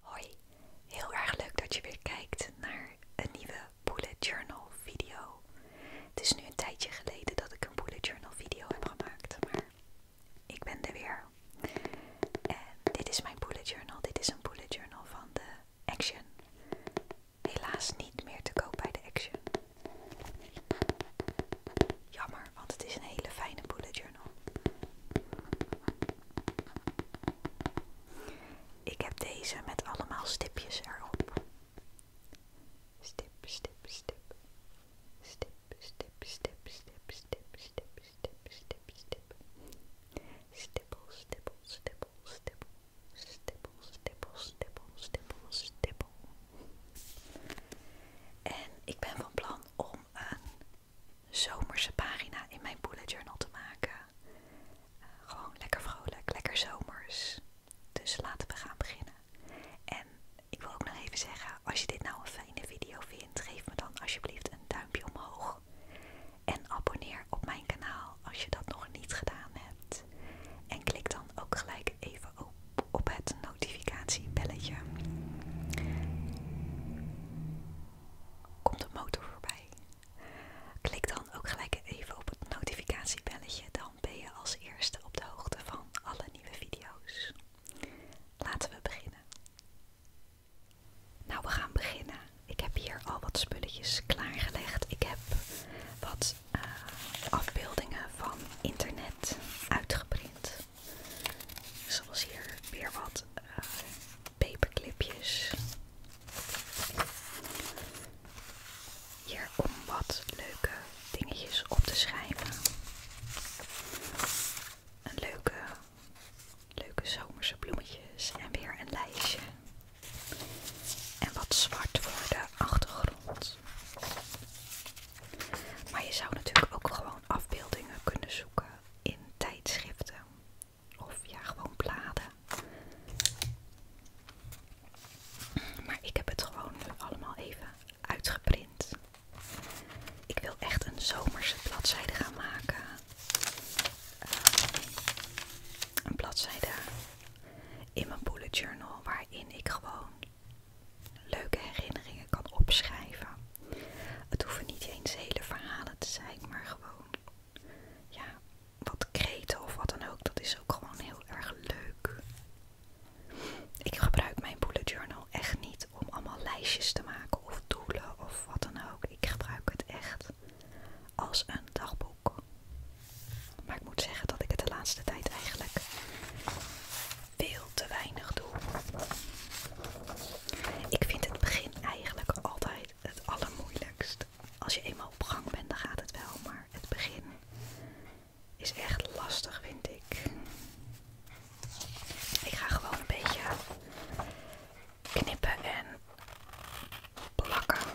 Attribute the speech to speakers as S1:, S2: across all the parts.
S1: Hoi, heel erg leuk dat je weer kijkt naar een nieuwe bullet journal video. Het is nu een tijdje geleden dat ik een bullet journal video heb gemaakt, maar ik ben er weer. En dit is mijn bullet journal. Dit is een bullet journal van de Action. Helaas niet meer te koop bij de Action. Jammer, want het is een hele fijne bullet journal. Ik heb deze met allemaal stipjes erop. Stip, stip, stip. Stip, stip, stip, stip, stip, stip, stip, stip, stip. Stippel, stippel, stippel, stippel. Stippel, stippel, stippel, stippel. En ik ben van plan om een zomerse pagina in mijn bullet journal te maken. Eh, gewoon lekker vrolijk, lekker zomers. Dus laten we gaan beginnen. En ik wil ook nog even zeggen, als je dit nou een fijne video vindt, geef me dan alsjeblieft een duimpje omhoog. En abonneer op mijn kanaal als je dat nog niet gedaan hebt. En klik dan ook gelijk even op het notificatiebelletje komt een motor voorbij. Klik dan ook gelijk even op het notificatiebelletje, dan ben je als eerste op de hoogte van alle nieuwe video's. Laten we beginnen. Nou, we gaan beginnen. Ik heb hier al wat spulletjes klaargelegd. Ik heb wat eh, afbeeldingen van internet uitgeprint. Zoals hier weer wat eh, paperclipjes. Hier om wat leuke dingetjes op te schrijven. Een leuke, leuke zomerse bloemetjes en weer een lijstje. En wat zwart voor de achtergrond. Maar je zou natuurlijk ook gewoon afbeeldingen kunnen zoeken in tijdschriften. Of ja, gewoon bladen. Maar ik heb het gewoon allemaal even uitgeprint. Ik wil echt een zomerse bladzijde gaan maken. Ehm, een bladzijde in mijn bullet journal waarin ik gewoon leuke herinneringen kan opschrijven. Het hoeven niet eens hele verhalen te zijn, maar gewoon ja, wat kreten of wat dan ook. Dat is ook gewoon heel erg leuk. Ik gebruik mijn bullet journal echt niet om allemaal lijstjes te maken of doelen of wat dan ook. Ik gebruik het echt als een dagboek. Maar ik moet zeggen dat ik het de laatste tijd eigenlijk veel te weinig doe. Ik vind het begin eigenlijk altijd het allermoeilijkst. Als je eenmaal op gang bent, dan gaat het wel, maar het begin is echt lastig, vind ik. Ik ga gewoon een beetje knippen en plakken.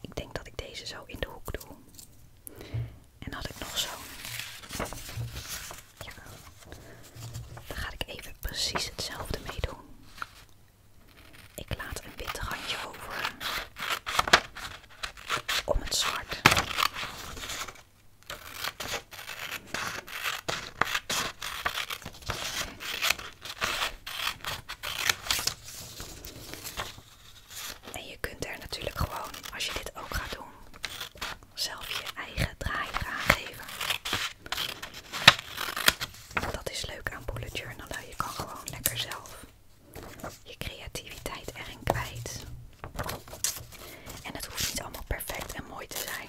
S1: Ik denk dat ik deze zo in de hoek doe. En had ik nog zo'n. Ja. ga ik even precies hetzelfde mee doen. Ik laat een wit randje over om het zwart. En je kunt er natuurlijk gewoon, als je dit ook gaat doen, zelf je eigen draaier aan geven. Dat is leuk aan bullet journalen. Je kan gewoon lekker zelf je creativiteit erin kwijt. En het hoeft niet allemaal perfect en mooi te zijn.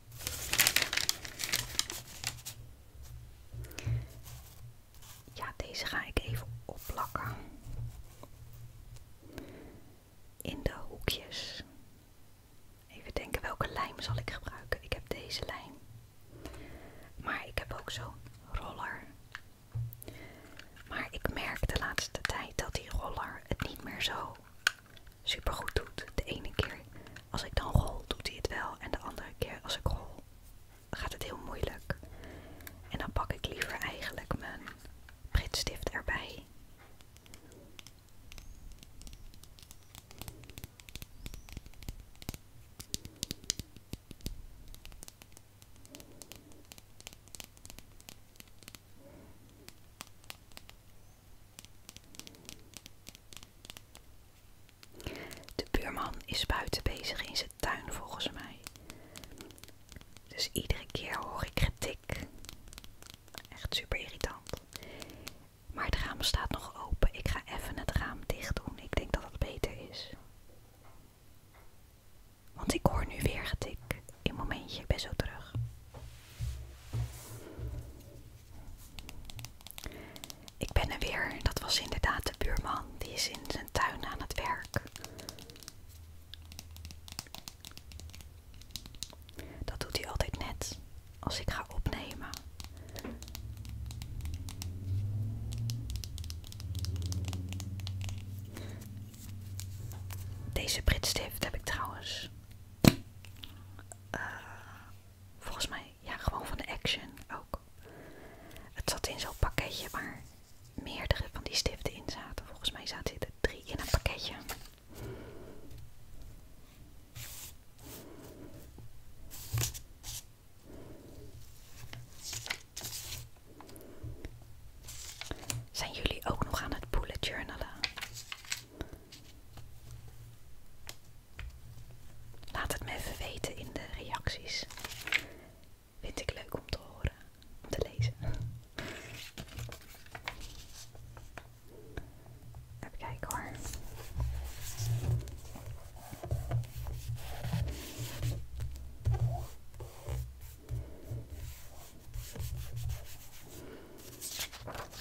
S1: Ja, deze ga ik even opplakken. In de hoekjes. Even denken welke lijm zal ik gebruiken. Ik heb deze lijm. Maar ik heb ook zo'n roller. Maar ik merk de laatste tijd dat die roller het niet meer zo super goed doet. De ene keer als ik dan rol, doet hij het wel. En de andere keer als ik rol, gaat het heel moeilijk. En dan pak ik liever eigenlijk mijn pritstift erbij. De buurman is buiten bezig in zijn tuin volgens mij. Dus iedere keer hoor ik getik. Echt super irritant. Maar het raam staat nog open. Ik ga even het raam dicht doen. Ik denk dat dat beter is. Want ik hoor nu weer getik. In een momentje, best ben zo terug. Ik ben er weer. Dat was inderdaad de buurman. Die is in zijn tuin aan het werk. Dat doet hij altijd net als ik ga opnemen. Deze Britstift heb ik trouwens eh, Volgens mij, ja, gewoon van de Action ook. Het zat in zo'n pakketje waar meerdere van die stiften in zaten. Volgens mij zaten er drie in het pakketje. Zijn jullie ook nog aan het bullet journalen? Laat het me even weten in de reacties. Vind ik leuk om te horen, om te lezen. Even kijken hoor.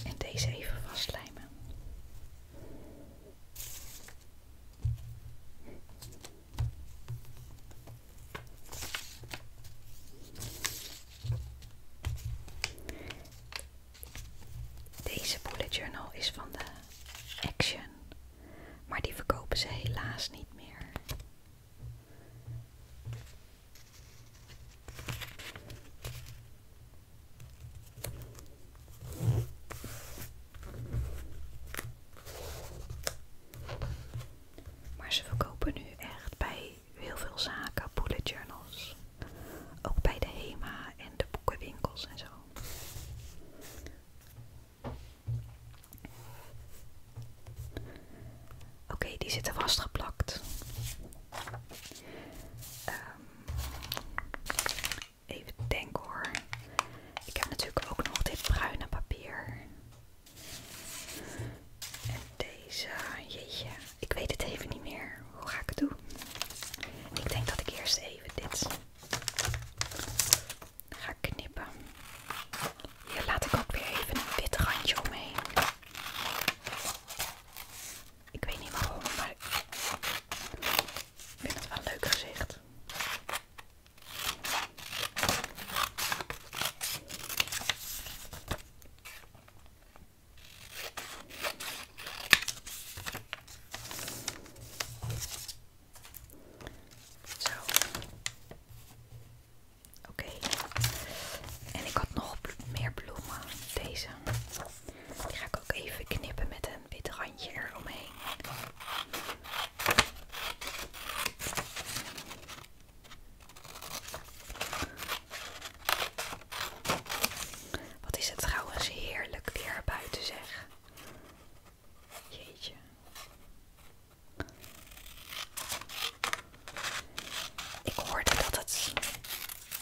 S1: En deze even vastlijmen. Deze bullet journal is van de Action, maar die verkopen ze helaas niet meer. Maar ze verkopen nu echt bij heel veel zaken bullet journals. Ook bij de HEMA en de boekenwinkels en zo. Oké, die zitten vastgeplakt. Ehm, even denken hoor. Ik heb natuurlijk ook nog dit bruine papier. En deze, jeetje, ik weet het even niet meer. Hoe ga ik het doen? Ik denk dat ik eerst even dit ga knippen. Hier laat ik ook weer even een wit randje omheen. Ik weet niet waarom, maar ik vind het wel een leuk gezicht. Zo. Oké. En ik had nog meer bloemen. Deze. Die ik ook even knippen met een wit randje eromheen. Wat is het trouwens heerlijk weer buiten zeg. Jeetje. Ik hoorde dat het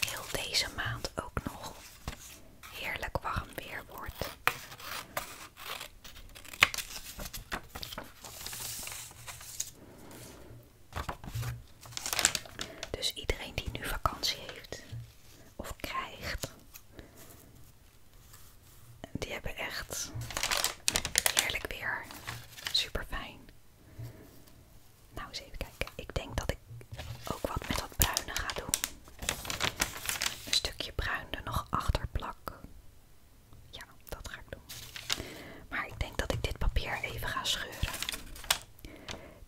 S1: heel deze maand ook nog heerlijk warm weer wordt. Dus iedereen die nu vakantie heeft of krijgt, die hebben echt heerlijk weer. Super fijn. Nou, eens even kijken. Ik denk dat ik ook wat met dat bruine ga doen. Een stukje bruin er nog achter plak. Ja, dat ga ik doen. Maar ik denk dat ik dit papier even ga scheuren.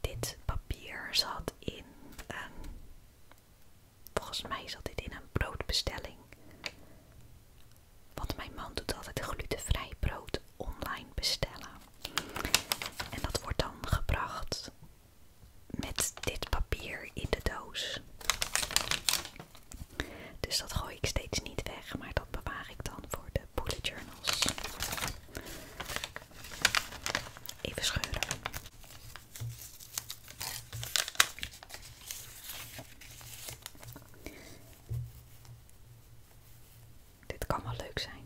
S1: Dit papier zat in een... Volgens mij zat dit in een broodbestelling. Want mijn man doet altijd glutenvrij brood online bestellen. En dat wordt dan gebracht met dit papier in de doos. Dus dat gooi ik steeds niet weg, maar dat bewaar ik dan voor de bullet journals. Even scheuren. Dit kan wel leuk zijn.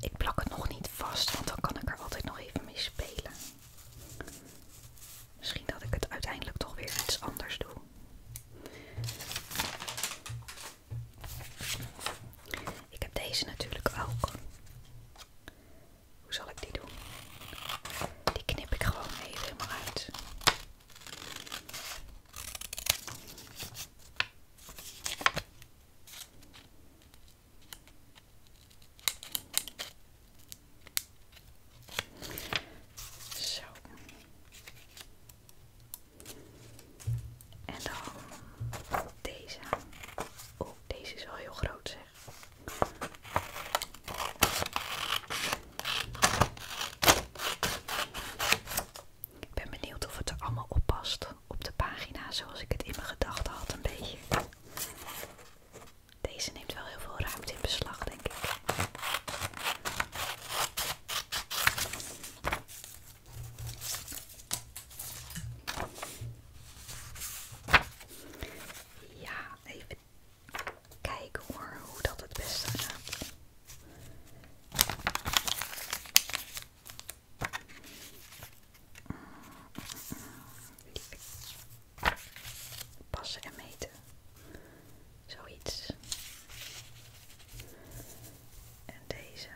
S1: Ik plak het nog niet vast, want dan kan ik er altijd nog even mee spelen. Misschien dat ik het uiteindelijk toch weer iets anders doe. Ik heb deze natuurlijk ook. Hoe zal ik die doen? Die knip ik gewoon even helemaal uit. Zo. En dan deze. Oh, deze is wel heel groot zeg. Ik ben benieuwd of het er allemaal op past op de pagina zoals ik het in mijn gedachten had een beetje. Deze neemt wel heel veel ruimte in beslag, denk ik. Ja, even Kijk hoor, hoe dat het beste gaat. Passen en meten. Zoiets. En deze.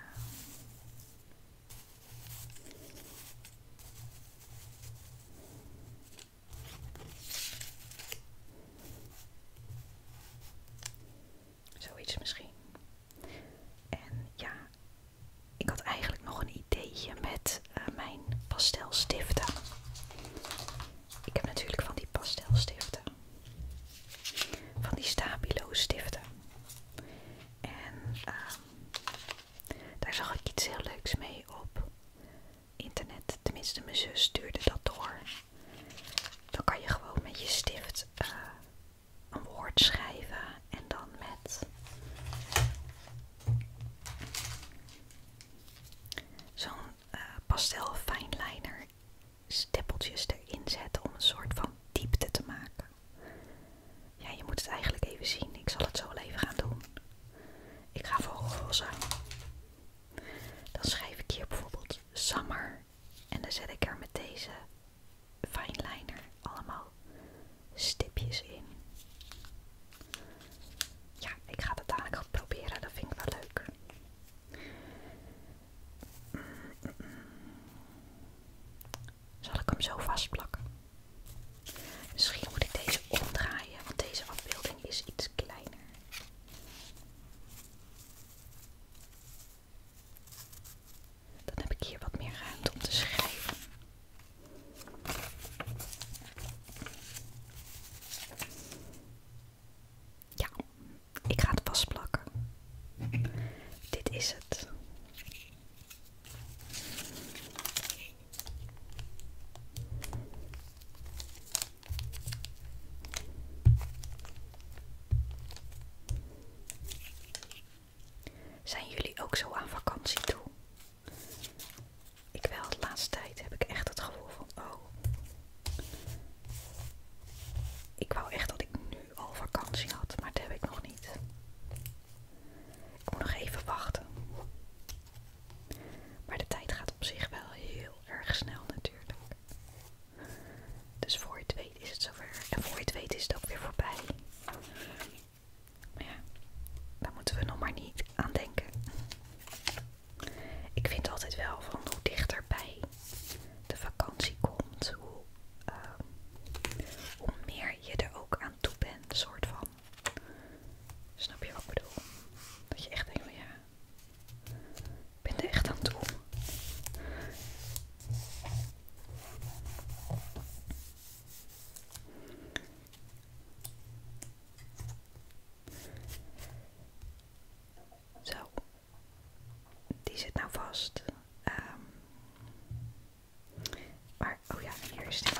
S1: Zoiets misschien. En ja, ik had eigenlijk nog een ideetje met eh, mijn pastelstiften. Ik heb natuurlijk van die pastelstiften. Van die stabilo stiften. En ehm, daar zag ik iets heel leuks mee op internet. Tenminste, mijn zus stuurde dat door. Dan kan je gewoon met je stift eh, een woord schrijven en dan met zo'n uh, pastel fijnliner stippeltjes erin zetten om een soort van diepte te maken. Ja, je moet het eigenlijk even zien. Ik zal het zo wel even gaan doen. Ik ga voor roze. Dan schrijf ik hier bijvoorbeeld summer. En dan zet ik er met deze fineliner allemaal stipjes in. Ja, ik ga dat dadelijk proberen. Dat vind ik wel leuk. Zal ik hem zo vastplakken? Misschien moet ik deze omdraaien, want deze afbeelding is iets kleiner. Dan heb ik hier wat meer ruimte om te schrijven. Ja, ik ga het vastplakken. Dit is het. Zijn jullie ook zo aan vakantie toe? Ik wel, de laatste tijd heb ik echt het gevoel van, oh, ik wou echt dat ik nu al vakantie had, maar dat heb ik nog niet. Ik moet nog even wachten. Maar de tijd gaat op zich wel heel erg snel natuurlijk. Dus voor je weet is het zover. En voor je het weet is het ook weer voorbij. Ja, daar moeten we nog maar niet aan denken. Ik vind altijd wel van hoe dichterbij de vakantie komt, hoe, ehm, hoe meer je er ook aan toe bent, soort van. Snap je wat ik bedoel? Dat je echt denkt van ja, ik ben echt aan toe. Zo. Die zit nou vast. Maar, ehm, oh ja, hier is die.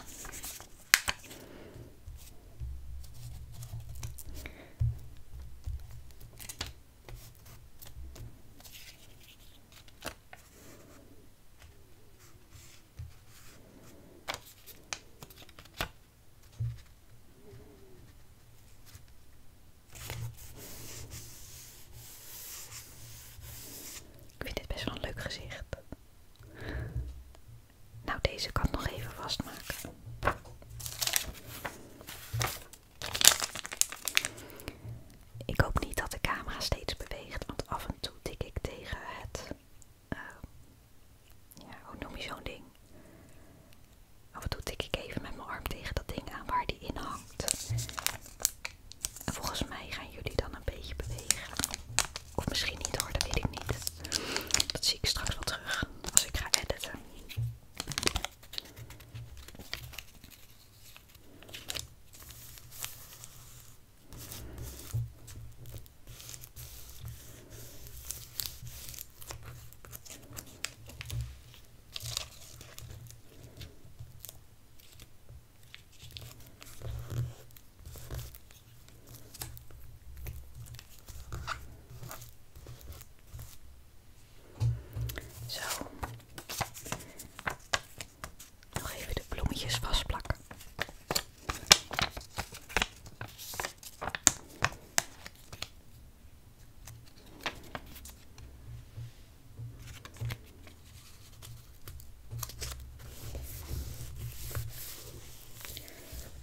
S1: Ik vind dit best wel een leuk gezicht. Nou, deze kan nog even vastmaken. Ik hoop niet dat de camera steeds beweegt, want af en toe tik ik tegen het. Eh, ja, hoe noem je zo'n ding? Af en toe tik ik even met mijn arm tegen dat ding aan waar die in hangt. volgens mij gaan jullie dan een beetje bewegen. Of misschien niet hoor, dat weet ik niet. Dat zie ik straks wel terug als ik ga editen. Zo. Nog even de bloemetjes vastplakken.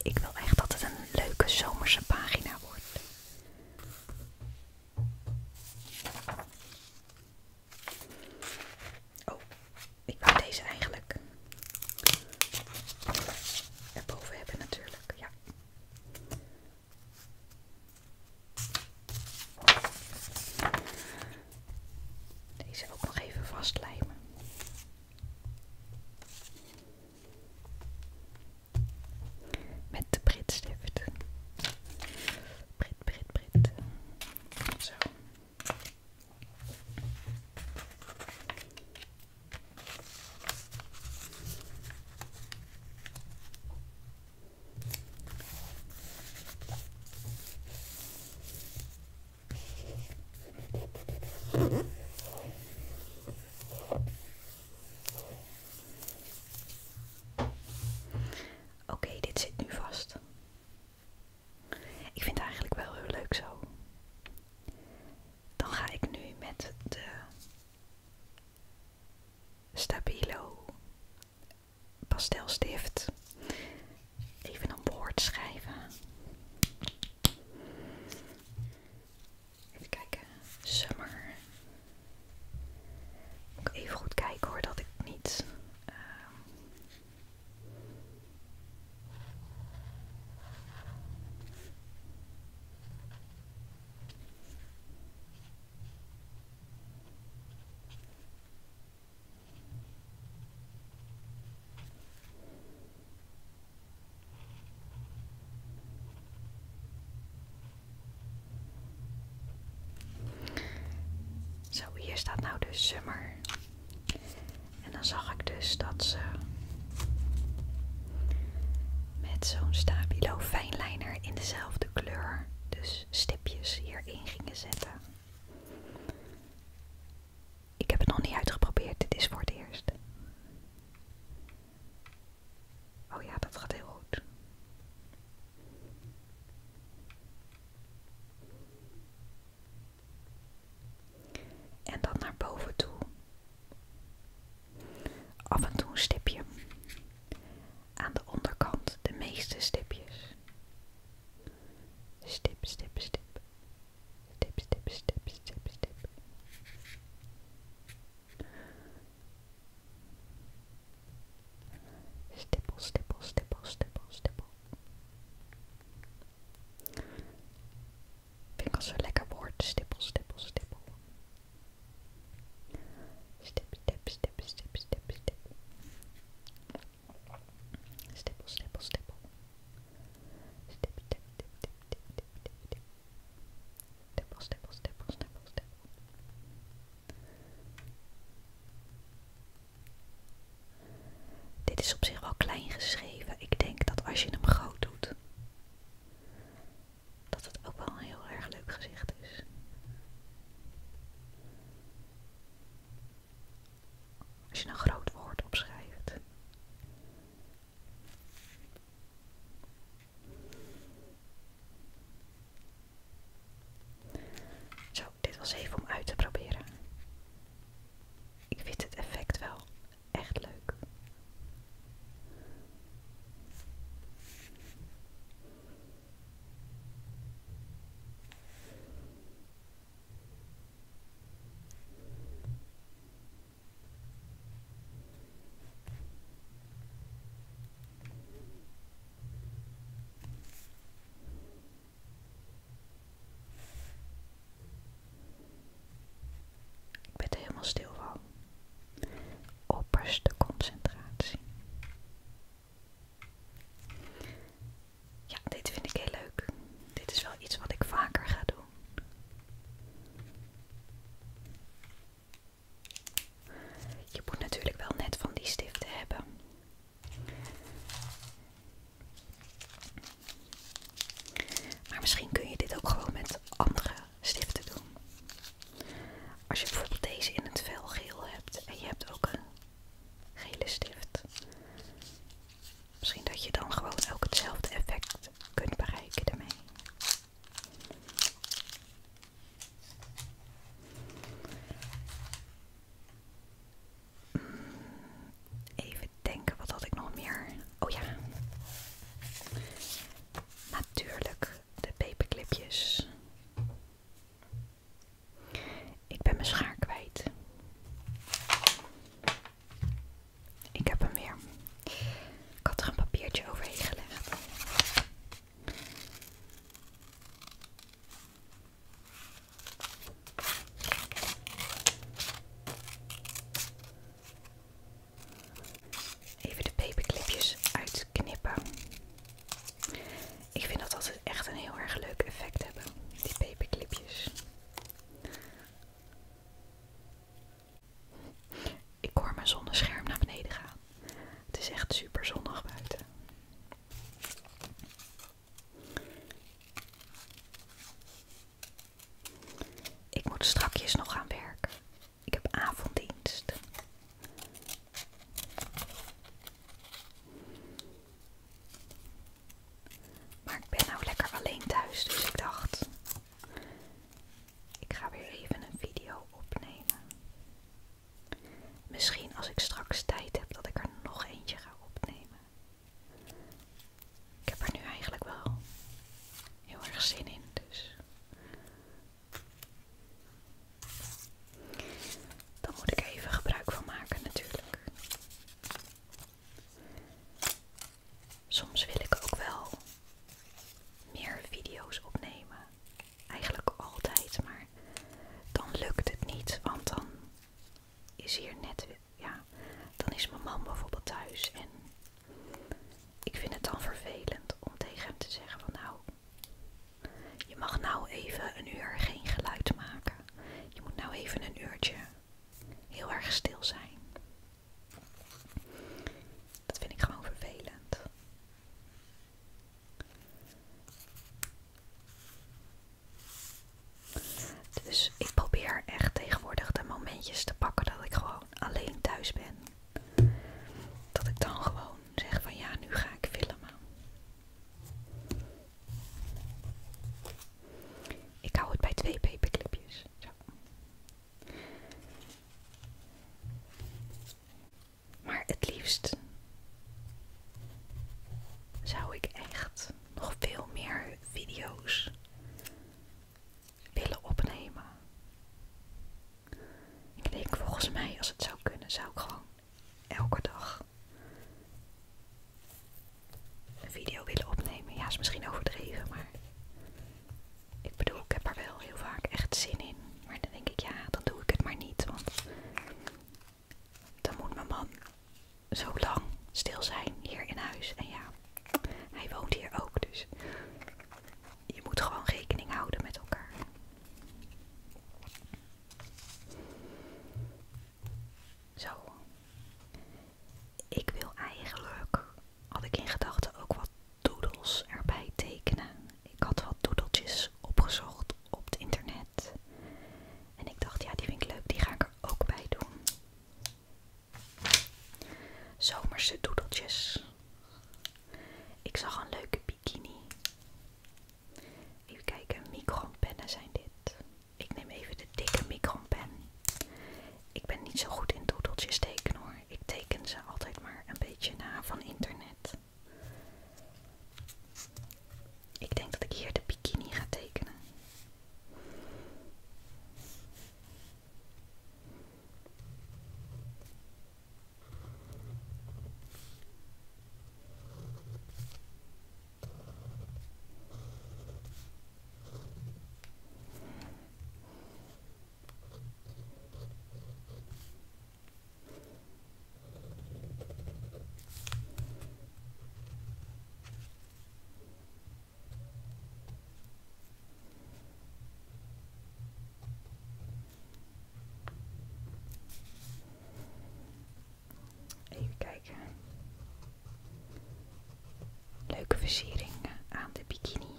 S1: Ik wil echt dat het een leuke zomerse pagina wordt. Oh, ik wou deze eigenlijk erboven hebben natuurlijk, Deze ook nog even vastlijmen. Met de Britstift. Brit, Brit, Brit. Zo. Oké, dit zit nu vast. Ik vind het eigenlijk wel heel leuk zo. Dan ga ik nu met de Stabilo pastelstift even een woord schrijven. Even kijken. Summer. Moet even goed kijken hoor, dat ik niet... Ehm, zo, hier staat nou de Summer. En dan zag ik dus dat ze met zo'n stabilo fijnlijner in dezelfde kleur, dus stipjes hierin gingen zetten. Ik heb het nog niet uitgeprobeerd, dit is voor het eerst. Oh ja, dat gaat heel goed. En dan naar boven toe. Af en toe een stipje. Aan de onderkant de meeste stipjes. Stip, stip, stip. Stip, stip, stip, stip, stip. Stippel, stippel, stippel, stippel, stippel. Vind als lekker woord. Stippel, stippel, stippel. Stip, stip, stip, stip, stip, stip. Stippel, stippel, stippel. Stippel, stippel, stippel, Dit is op zich wel klein geschreven. Ik denk dat als je hem groot doet, dat het ook wel een heel erg leuk gezicht is. Als je een groot woord opschrijft, zo, dit was even om uit te proberen. Ik vind het effect wel echt leuk. Ik ben er helemaal stil van. Opperste concentratie. Ja, dit vind ik heel leuk. Dit is wel iets wat ik vaker ga doen. Je moet natuurlijk wel net van die stiften hebben. Maar misschien kun je dit ook gewoon met andere stiften doen. Als je bijvoorbeeld deze in het vel geel hebt en je hebt ook een gele stift, Misschien dat je dan gewoon ook hetzelfde effect kunt bereiken daarmee. Hmm, even denken, wat had ik nog meer? Oh ja. Natuurlijk de paperclipjes. Ik ben mijn schaar kwijt. Ik heb hem weer. Ik had er een papiertje overheen gelegd. Even de paperclipjes uitknippen. Ik vind dat altijd echt een heel erg leuk effect hebben, die paperclipjes. Ik hoor mijn zonnescherm naar beneden gaan. Het is echt super zonnig buiten. Ik moet strakjes nog aan werken. Ik heb avonddienst. Maar ik ben nou lekker alleen thuis, dus ik dacht, ik ga weer even een video opnemen. Misschien als ik straks tijd heb dat ik er nog eentje ga opnemen. Ik heb er nu eigenlijk wel heel erg zin in, dus. Dan moet ik even gebruik van maken natuurlijk. Soms wil ik ook wel meer video's opnemen. Eigenlijk altijd, maar dan lukt het niet, want dan is hier net, ja, dan is mijn man bijvoorbeeld thuis en ik vind het dan vervelend om tegen hem te zeggen van nou, je mag nou even een uur geen geluid maken. Je moet nou even een uurtje heel erg stil zijn. Dat vind ik gewoon vervelend. Dus ik probeer echt tegenwoordig de momentjes te pakken dat ik gewoon alleen thuis ben. Dat ik dan gewoon zeg van ja, nu ga ik filmen. Ik hou het bij twee paperclipjes. Zo. Maar het liefst zou ik echt nog veel meer video's willen opnemen. Ik denk volgens mij, als het zou kunnen, zou ik gewoon elke dag een video willen opnemen. Ja, is misschien overdreven, maar ik bedoel, ik heb er wel heel vaak echt zin in. Maar dan denk ik, ja, dan doe ik het maar niet. Want dan moet mijn man zo lang stil zijn hier in huis. En ja, hij woont hier ook. Dus je moet gewoon rekening houden met elkaar. Zo. Ik wil eigenlijk had ik in gedachten ook wat doodles erbij tekenen. Ik had wat doedeltjes opgezocht op het internet. En ik dacht, ja, die vind ik leuk, die ga ik er ook bij doen. Zomerse doedeltjes. Ik zag een leuke bikini. Even kijken, micronpennen zijn dit. Ik neem even de dikke micronpen. Ik ben niet zo goed in doedeltjes tekenen hoor. Ik teken ze altijd maar een beetje na van internet. Ik denk dat ik hier de bikini ga tekenen. Even kijken. Leuke versiering eh, aan de bikini.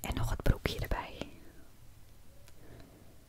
S1: En nog het broekje erbij.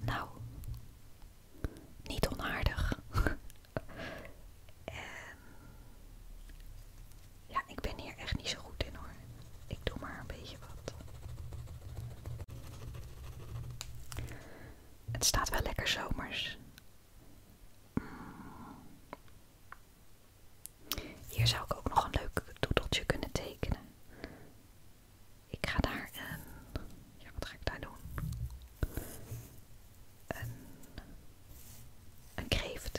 S1: Nou, niet onaardig. Ehm, ja, ik ben hier echt niet zo goed in hoor. Ik doe maar een beetje wat. Het staat wel lekker zomers. Hier zou ik ook nog een leuk doedeltje kunnen tekenen. Ik ga daar een. Ja, wat ga ik daar doen? Een. Een kreeft.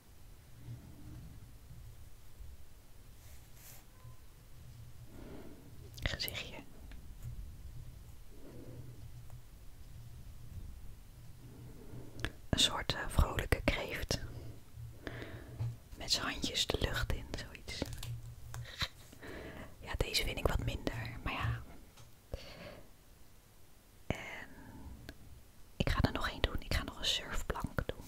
S1: Gezichtje. Een soort eh, vrolijke kreeft. Met zijn handjes de lucht in, zoiets. Ja, deze vind ik wat minder, maar ja. En ik ga er nog één doen. Ik ga nog een surfplank doen.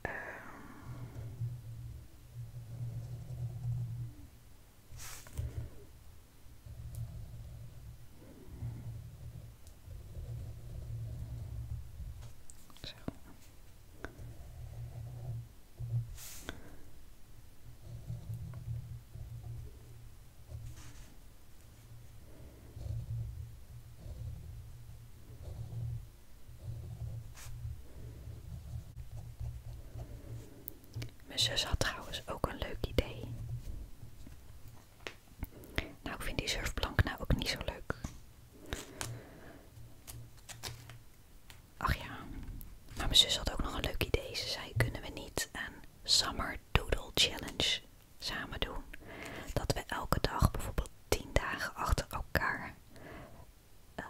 S1: Ehm. Mijn zus had trouwens ook een leuk idee. Nou, ik vind die surfplank nou ook niet zo leuk. Ach ja, maar mijn zus had ook nog een leuk idee. Ze zei, kunnen we niet een Summer Doodle Challenge samen doen? Dat we elke dag, bijvoorbeeld 10 dagen achter elkaar, ehm,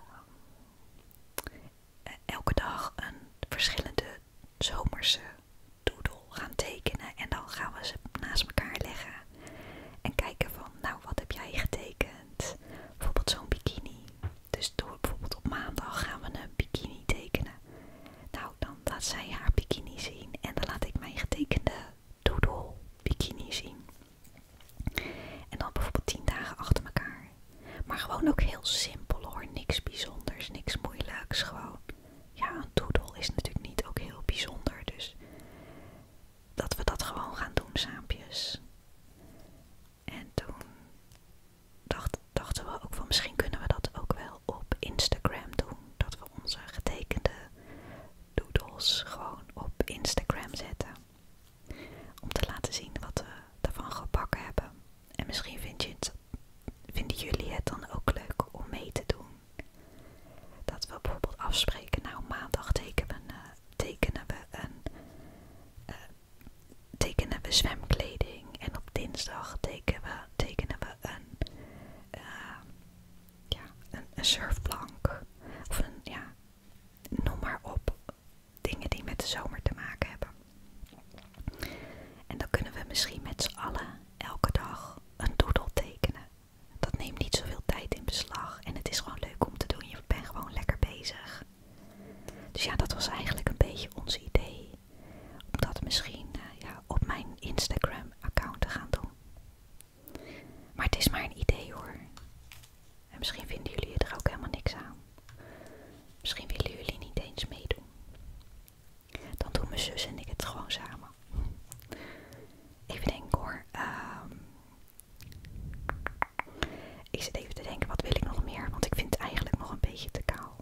S1: elke dag een verschillende zomerse doodle gaan tekenen. En dan gaan we ze naast elkaar leggen en kijken van, nou wat heb jij getekend? Bijvoorbeeld zo'n bikini. Dus door bijvoorbeeld op maandag gaan we een bikini tekenen. Nou, dan laat zij haar bikini zien en dan laat ik mijn getekende doodle bikini zien. En dan bijvoorbeeld 10 dagen achter elkaar. Maar gewoon ook heel simpel hoor, niks bijzonders, niks moeilijks. Gewoon, ja, een doedel is natuurlijk niet ook heel bijzonder. Dus dat we dat gewoon gaan doen saampjes. En toen dachten we ook van misschien kunnen we dat ook wel op Instagram doen. Dat we onze getekende doodles gewoon op Instagram zetten. Om te laten zien wat we daarvan gebakken hebben. En misschien vinden jullie het dan ook leuk om mee te doen. Dat we bijvoorbeeld afspreken, nou maandag tekenen eh, we een, tekenen eh, we en tekenen we zwemkleding en op dinsdag tekenen we, een, eh, ja, een, surfplank. Of een, ja, noem maar op. Dingen die met de zomer te maken hebben. En dan kunnen we misschien met z'n allen elke dag een doodle tekenen. Dat neemt niet zoveel tijd in beslag en het is gewoon leuk om te doen. Je bent gewoon lekker bezig. Dus ja, dat was eigenlijk een beetje ons idee. Om dat misschien eh, ja, op mijn Instagram-account te gaan doen. Maar het is maar een idee hoor. En misschien vinden jullie er ook helemaal niks aan. Misschien willen jullie niet eens meedoen. Dan doen mijn zus en ik het gewoon samen. Even denken hoor. Ehm, ik zit even te denken, wat wil ik nog meer? Want ik vind het eigenlijk nog een beetje te kaal.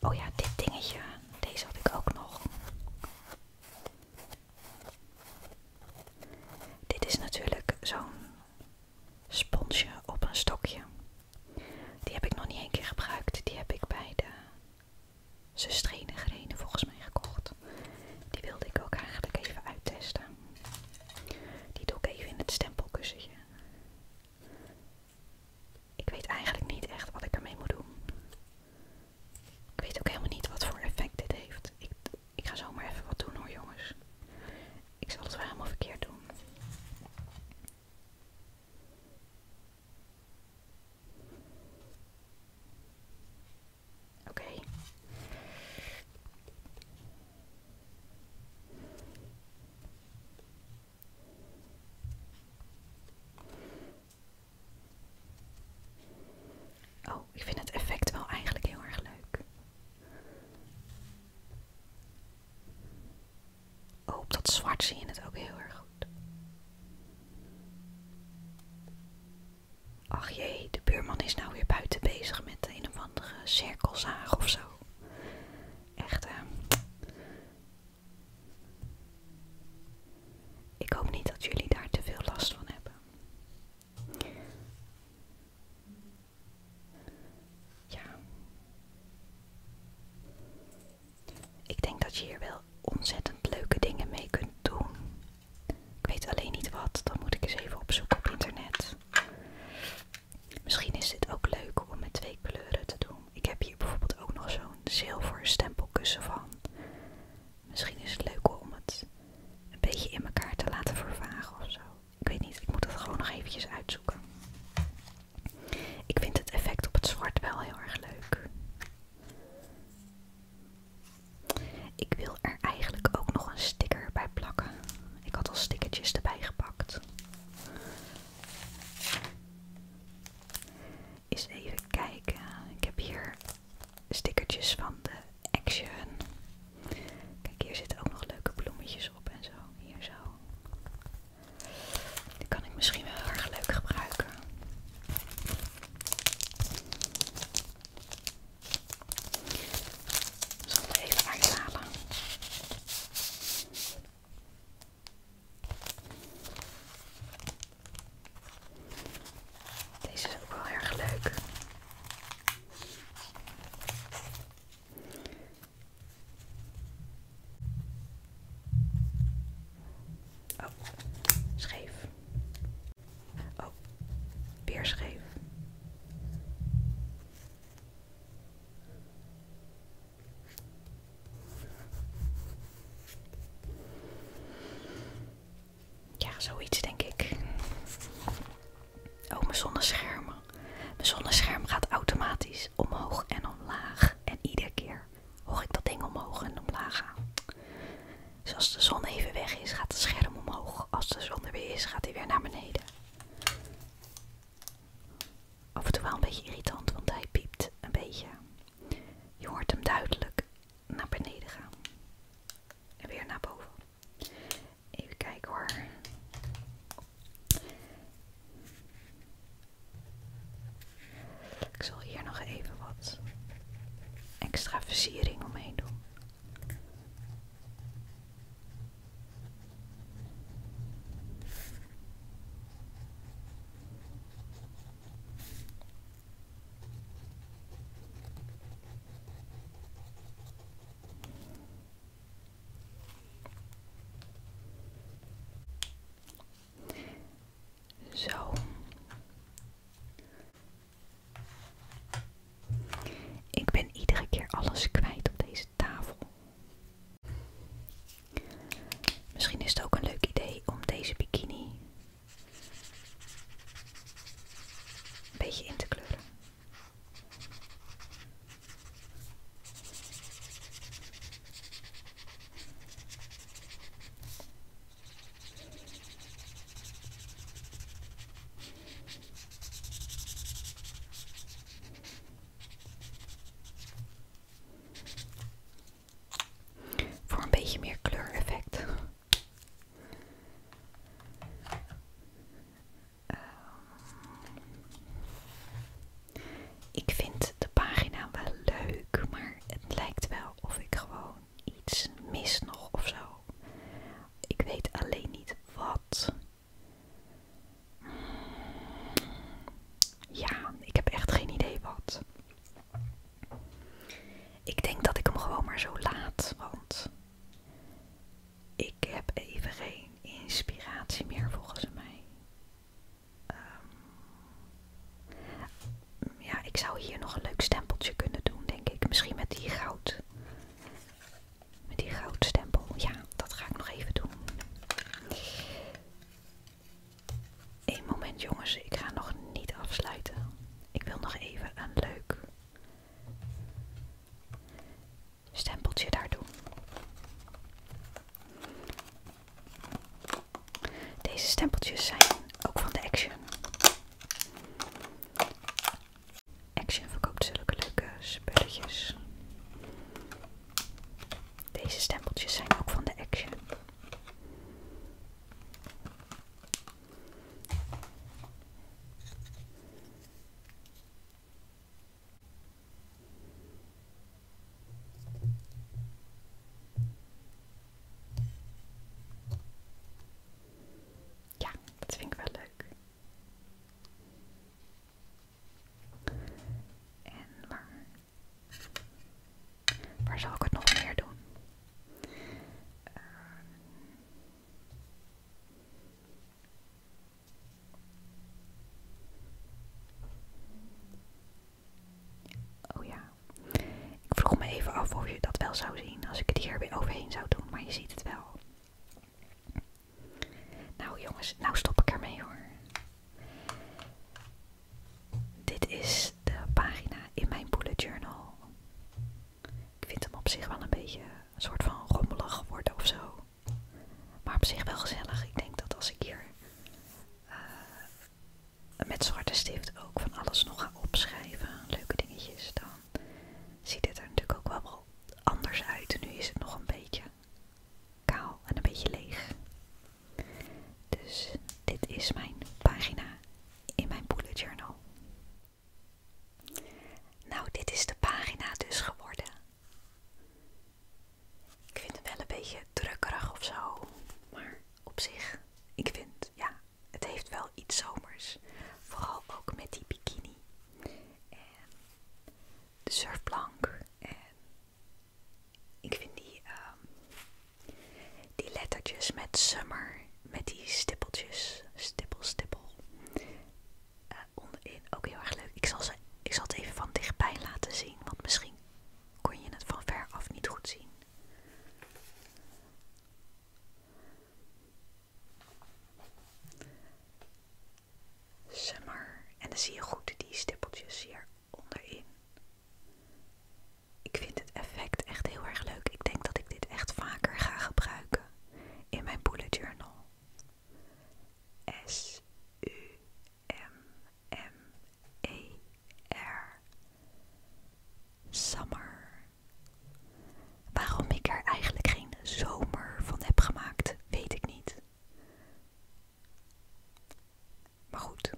S1: Oh ja, dit dingetje. Deze had ik ook nog. Dit is natuurlijk zo'n sponsje op een stokje. Die heb ik nog niet één keer gebruikt. Die heb ik bij de zustrene volgens mij gekocht. Die wilde ik ook eigenlijk even uittesten. Die doe ik even in het stempelkussentje. Ik weet eigenlijk niet echt wat ik ermee moet doen. Ik weet ook helemaal niet wat voor effect dit heeft. Ik, ik ga zomaar even wat doen hoor jongens. Ik zal het wel helemaal verkeerd doen. Oké. Oh, ik vind het effect wel eigenlijk heel erg leuk. Oh, op dat zwart zie je het ook heel erg goed. Ach jee, de buurman is nou weer buiten bezig met met een of andere cirkelzaag of zo. Echt, hè. ik hoop niet dat jullie daar te veel last van hebben. Ja. Ik denk dat je hier wel ontzettend leuke dingen mee kunt doen. Ik weet alleen niet wat, dan moet ik eens even opzoeken op internet. Misschien is dit ook leuk om met twee kleuren te doen. Ik heb hier bijvoorbeeld ook nog zo'n zilveren stempelkussen van. Misschien is het leuk om het een beetje in elkaar te laten vervagen of zo. Ik weet niet, ik moet het gewoon nog eventjes uitzoeken. Ik vind het effect op het zwart wel heel erg leuk. Ik wil er eigenlijk ook nog een sticker bij plakken. Ik had al stickertjes erbij gepakt. Eens even kijken. Ik heb hier stickertjes van de Action. Kijk, hier zitten ook nog leuke bloemetjes op en zo. Hier zo. Die kan ik misschien wel heel erg leuk gebruiken. Zo, zal even uithalen. Deze is ook wel erg leuk. Oh, scheef. Oh, weer scheef. Ja, zoiets denk ik. Oh, mijn zonneschermen. Mijn zonnescherm gaat automatisch omhoog en omlaag. En iedere keer hoor ik dat ding omhoog en omlaag gaan. Dus als de zon even weg is, gaat het scherm omhoog. Als de zon er weer is, gaat hij weer naar beneden. Af en toe wel een beetje irritant, want hij piept een beetje. Je hoort hem duidelijk naar beneden gaan. En weer naar boven. Even kijken hoor. Ik zal hier nog even wat extra versiering omheen doen. Zo. Ik ben iedere keer alles kwijt op deze tafel. Misschien is het ook een leuk idee om deze bikini een beetje in te kleuren. Voor een beetje meer kleureffect. ik vind de pagina wel leuk, maar het lijkt wel of ik gewoon iets mis nog of zo. Ik weet alleen niet wat. Ja, ik heb echt geen idee wat. Ik denk dat ik hem gewoon maar zo laat, want ik heb even geen inspiratie meer volgens mij. Ehm, ja, ik zou hier nog een leuk stempeltje kunnen doen, denk ik. Misschien met die goud met die goudstempel. Ja, dat ga ik nog even doen. Eén moment jongens, ik ga nog niet afsluiten. Ik wil nog even een leuk stempeltje daar doen. Deze stempeltjes zijn ook van de Action. Action verkoopt zulke leuke spulletjes. Deze stempeltjes zijn ook van de Action. Ja, dat vind ik wel leuk. En waar, waar zal ik het nog meer doen? Ehm, oh ja, ik vroeg me even af of je dat wel zou zien als ik het hier weer overheen zou doen, maar je ziet het wel. Nou jongens, nou stop ik ermee hoor. Dit is de pagina in mijn bullet journal. Ik vind hem op zich wel een beetje een soort van rommelig geworden of zo. Maar op zich wel gezellig. Ik denk dat als ik hier eh, met zwarte stift ook van alles nog ga opschrijven, leuke dingetjes, dan ziet dit er natuurlijk ook wel anders uit. Nu is het nog een beetje kaal en een beetje leeg. Dus dit is mijn pagina in mijn bullet journal. Nou, dit is de pagina dus geworden. Ik vind het wel een beetje drukkerig of zo, maar op zich, ik vind, ja, het heeft wel iets zomers. Vooral ook met die bikini. En de surfplank. En ik vind die, ehm, die lettertjes met summer, met die stippeltjes, stipel stippel, eh, onderin ook heel erg leuk. Ik zal, ze, ik zal het even van dichtbij laten zien, want misschien kon je het van ver af niet goed zien. Summer. En dan zie je goed die stippeltjes hier onderin. Ik vind het effect echt heel erg leuk. Ik denk dat ik dit echt vaker ga gebruiken in mijn bullet journal. S U M M E R Summer. Waarom ik er eigenlijk geen zomer van heb gemaakt, weet ik niet. Maar goed,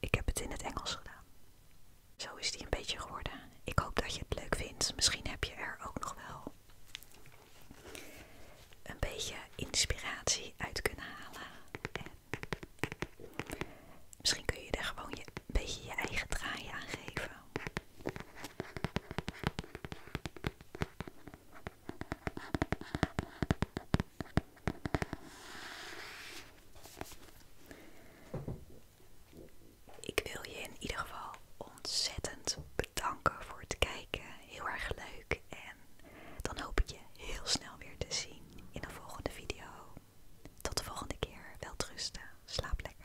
S1: ik heb het in het Engels gedaan. Zo is die een beetje geworden. Ik hoop dat je het leuk vindt. Misschien heb je er ook nog wel een beetje inspiratie uit kunnen halen. misschien kun je er gewoon je, een beetje je eigen draai aan geven. Ik wil je in ieder geval ontzettend bedanken voor het kijken. Heel erg leuk. En dan hoop ik je heel snel weer te zien in een volgende video. Tot de volgende keer. Welterusten. Slaap lekker.